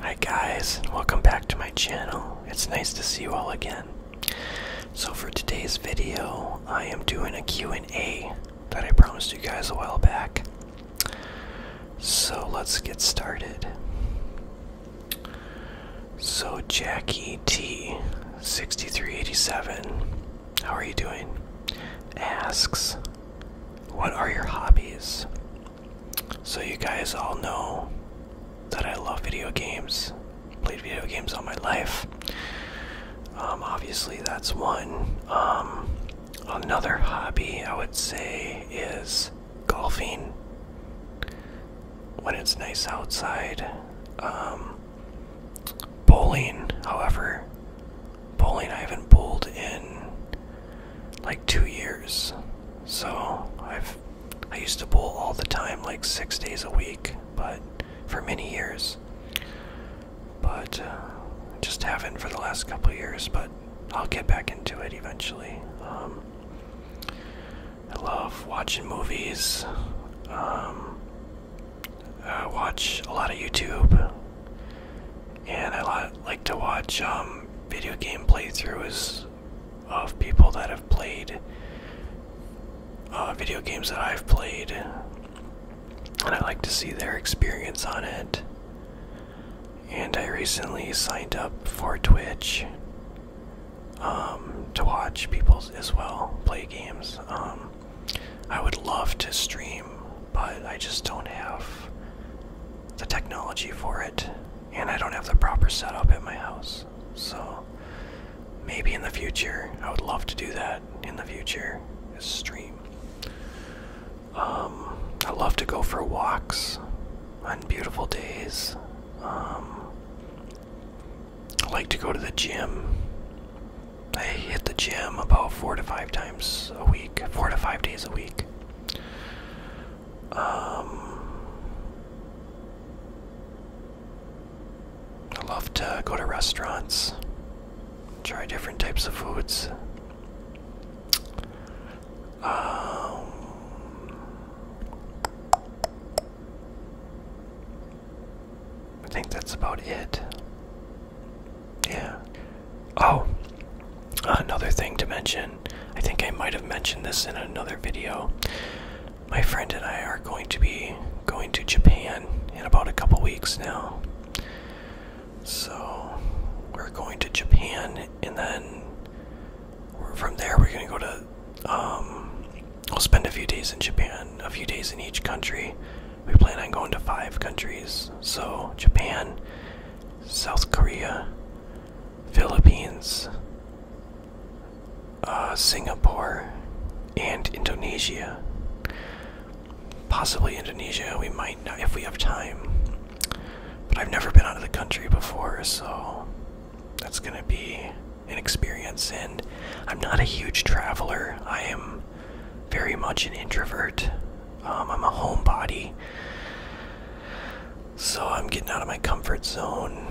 Hi guys, welcome back to my channel. It's nice to see you all again. So for today's video, I am doing a Q&A that I promised you guys a while back. So let's get started. So Jackie T, 6387, how are you doing? Asks, what are your hobbies? So, you guys all know that I love video games. Played video games all my life. Um, obviously, that's one. Um, another hobby I would say is golfing. When it's nice outside. Um, bowling, however, bowling I haven't bowled in like two years. So I've I used to bowl all the time, like six days a week, but for many years. But uh, just haven't for the last couple years. But I'll get back into it eventually. Um, I love watching movies. Um, I watch a lot of YouTube and I like to watch um, video game playthroughs of people that have played uh, video games that I've played, and I like to see their experience on it. And I recently signed up for Twitch um, to watch people as well play games. Um, I would love to stream, but I just don't have the technology for it, and I don't have the proper setup at my house. So maybe in the future, I would love to do that in the future, is stream. Um, I love to go for walks on beautiful days. Um, I like to go to the gym. I hit the gym about four to five times a week four to five days a week. Um, I love to go to restaurants, try different types of foods. Um, I think that's about it. Yeah. Oh, another thing to mention. I think I might have mentioned this in another video. My friend and I are going to be going to Japan in about a couple weeks now. So, we're going to Japan and then from there we're going to go to um will spend a few days in Japan, a few days in each country, we plan on going to five countries. So, Japan, South Korea, Philippines, uh, Singapore, and Indonesia. Possibly Indonesia, we might not if we have time. But I've never been out of the country before, so that's gonna be an experience. And I'm not a huge traveler. I am very much an introvert. Um, I'm a homebody. So I'm getting out of my comfort zone.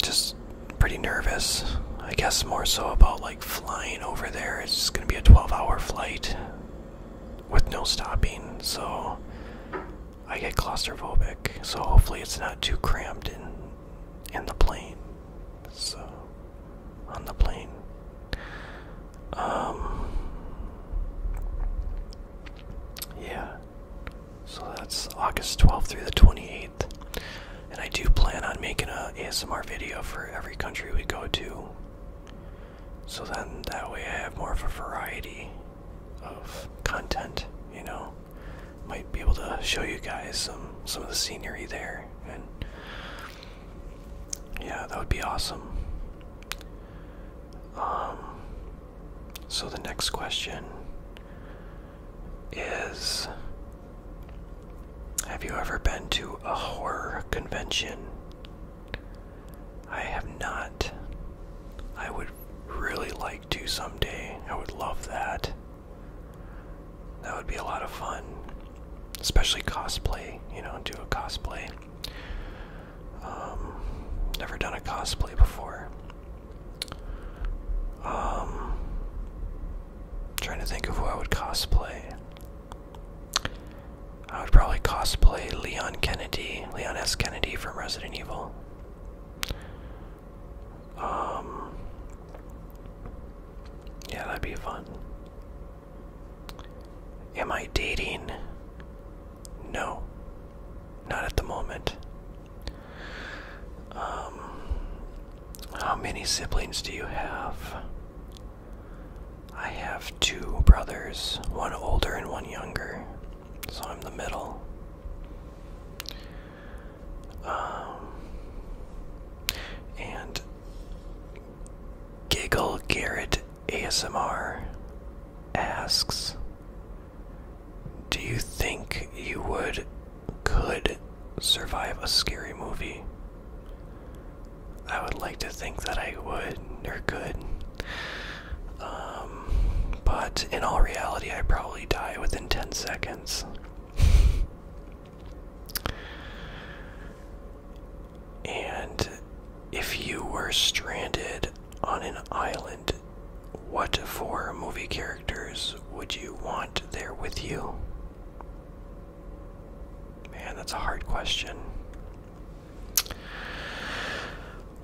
Just pretty nervous. I guess more so about like flying over there. It's going to be a 12 hour flight with no stopping. So I get claustrophobic. So hopefully it's not too cramped in in the plane. So on the plane. Um, yeah. So that's August 12th through the 28th. And I do plan on making a ASMR video for every country we go to. So then that way I have more of a variety of content, you know. Might be able to show you guys some some of the scenery there yeah, that would be awesome. Um, so the next question is Have you ever been to a horror convention? I have not. I would really like to someday. I would love that. That would be a lot of fun especially cosplay, you know, do a cosplay. Um, never done a cosplay before. Um, trying to think of who I would cosplay. I would probably cosplay Leon Kennedy, Leon S. Kennedy from Resident Evil. Um, yeah, that'd be fun. Am I dating? No, not at the moment. Um, how many siblings do you have? I have two brothers, one older and one younger, so I'm the middle. Um, and Giggle Garrett ASMR asks Do you think you would could survive a scary movie? I would like to think that I would or could. Um, but in all reality, I probably die within 10 seconds. And if you were stranded on an island, what four movie characters would you want there with you? Man, that's a hard question.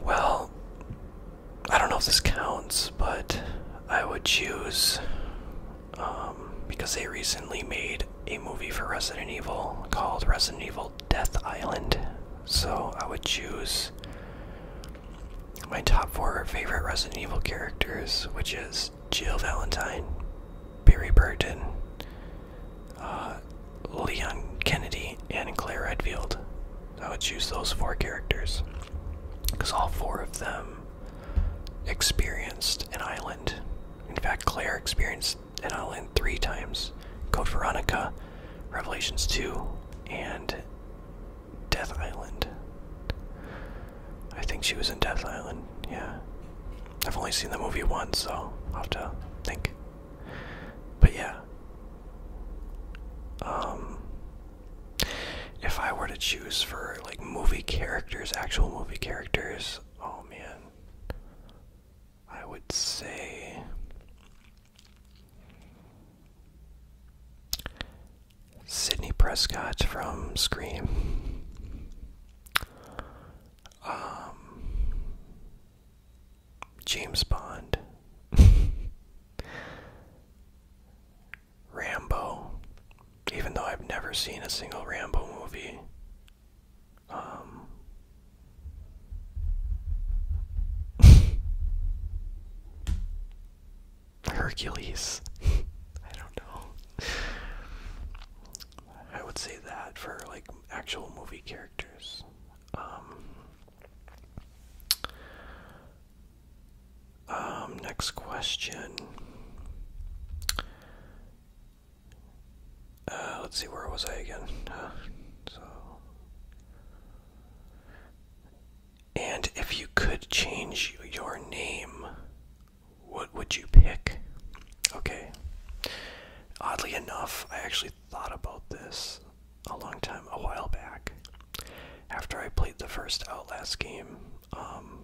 Well, I don't know if this counts, but I would choose um, because they recently made a movie for Resident Evil called Resident Evil Death Island. So I would choose my top four favorite Resident Evil characters, which is Jill Valentine, Barry Burton, uh, Leon Kennedy, and Claire Redfield. I would choose those four characters because all four of them experienced an island in fact, Claire experienced an island three times Code Veronica, Revelations 2, and Death Island. I think she was in Death Island, yeah. I've only seen the movie once, so I'll have to think. But yeah. Um if I were to choose for like movie characters, actual movie characters, Oh man. I would say Sidney Prescott from Scream. Um, James Bond. Rambo even though I've never seen a single Rambo movie. Um, Hercules. I don't know. I would say that for like actual movie characters. um, um next question. Uh, let's see, where was I again? so, and if you could change your name, what would you pick? Okay. Oddly enough, I actually thought about this a long time, a while back. After I played the first Outlast game, um,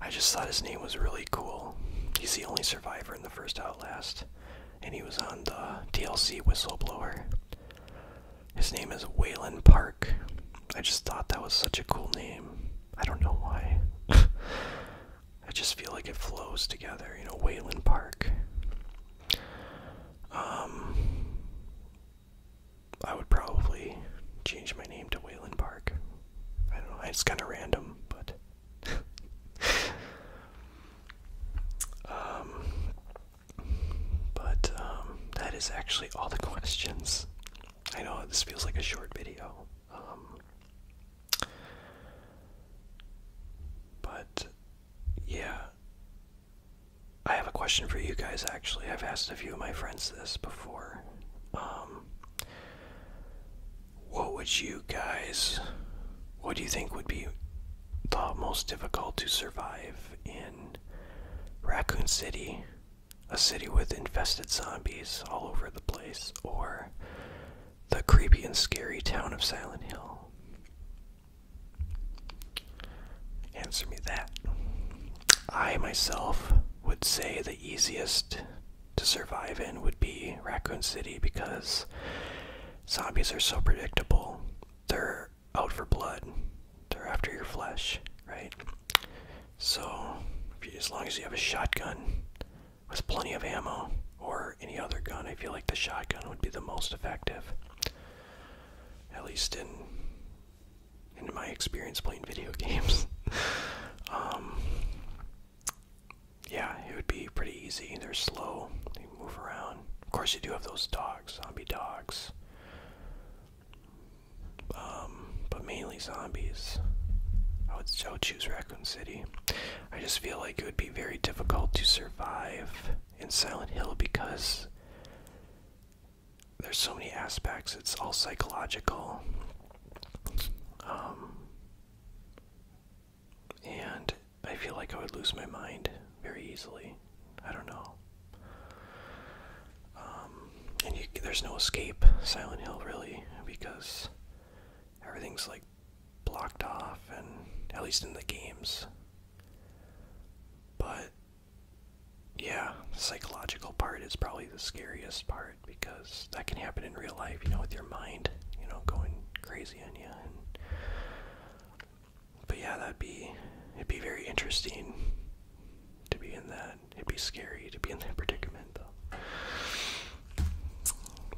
I just thought his name was really cool. He's the only survivor in the first Outlast, and he was on the DLC Whistleblower. His name is Waylon Park. I just thought that was such a cool name. I don't know why. I just feel like it flows together, you know, Waylon Park. Um, I would probably change my name to Wayland Park. I don't know, it's kind of random, but. um, but um, that is actually all the questions. I know this feels like a short video. Um, but yeah. I have a question for you guys actually. I've asked a few of my friends this before. Um, what would you guys what do you think would be the most difficult to survive in Raccoon City, a city with infested zombies all over the place, or the creepy and scary town of Silent Hill? Answer me that. I myself would say the easiest to survive in would be Raccoon City because zombies are so predictable. They're out for blood, they're after your flesh, right? So, as long as you have a shotgun with plenty of ammo or any other gun, I feel like the shotgun would be the most effective. At least in in my experience playing video games. um, yeah, it would be pretty easy. They're slow. They move around. Of course, you do have those dogs, zombie dogs. Um, but mainly zombies. I would, still choose Raccoon City. I just feel like it would be very difficult to survive in Silent Hill because there's so many aspects. It's all psychological. Um, and I feel like I would lose my mind very easily. I don't know. Um, and there's no escape, Silent Hill, really, because everything's like blocked off, and at least in the games. But yeah, the psychological part is probably the scariest part because that can happen in real life, you know, with your mind, you know, going crazy on you. but yeah, that'd be it'd be very interesting to be in that. It'd be scary to be in that predicament, though.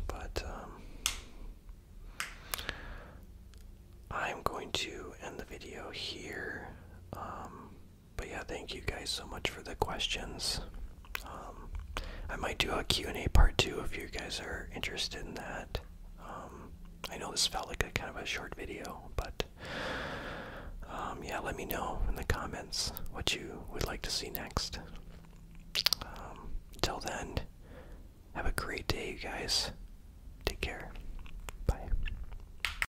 But um, I'm going to end the video here. Um, but yeah, thank you guys so much for the questions. Um, I might do a Q&A part two if you guys are interested in that. Um, I know this felt like a kind of a short video, but um, yeah, let me know in the comments what you would like to see next. till then, have a great day, you guys. Take care. Bye.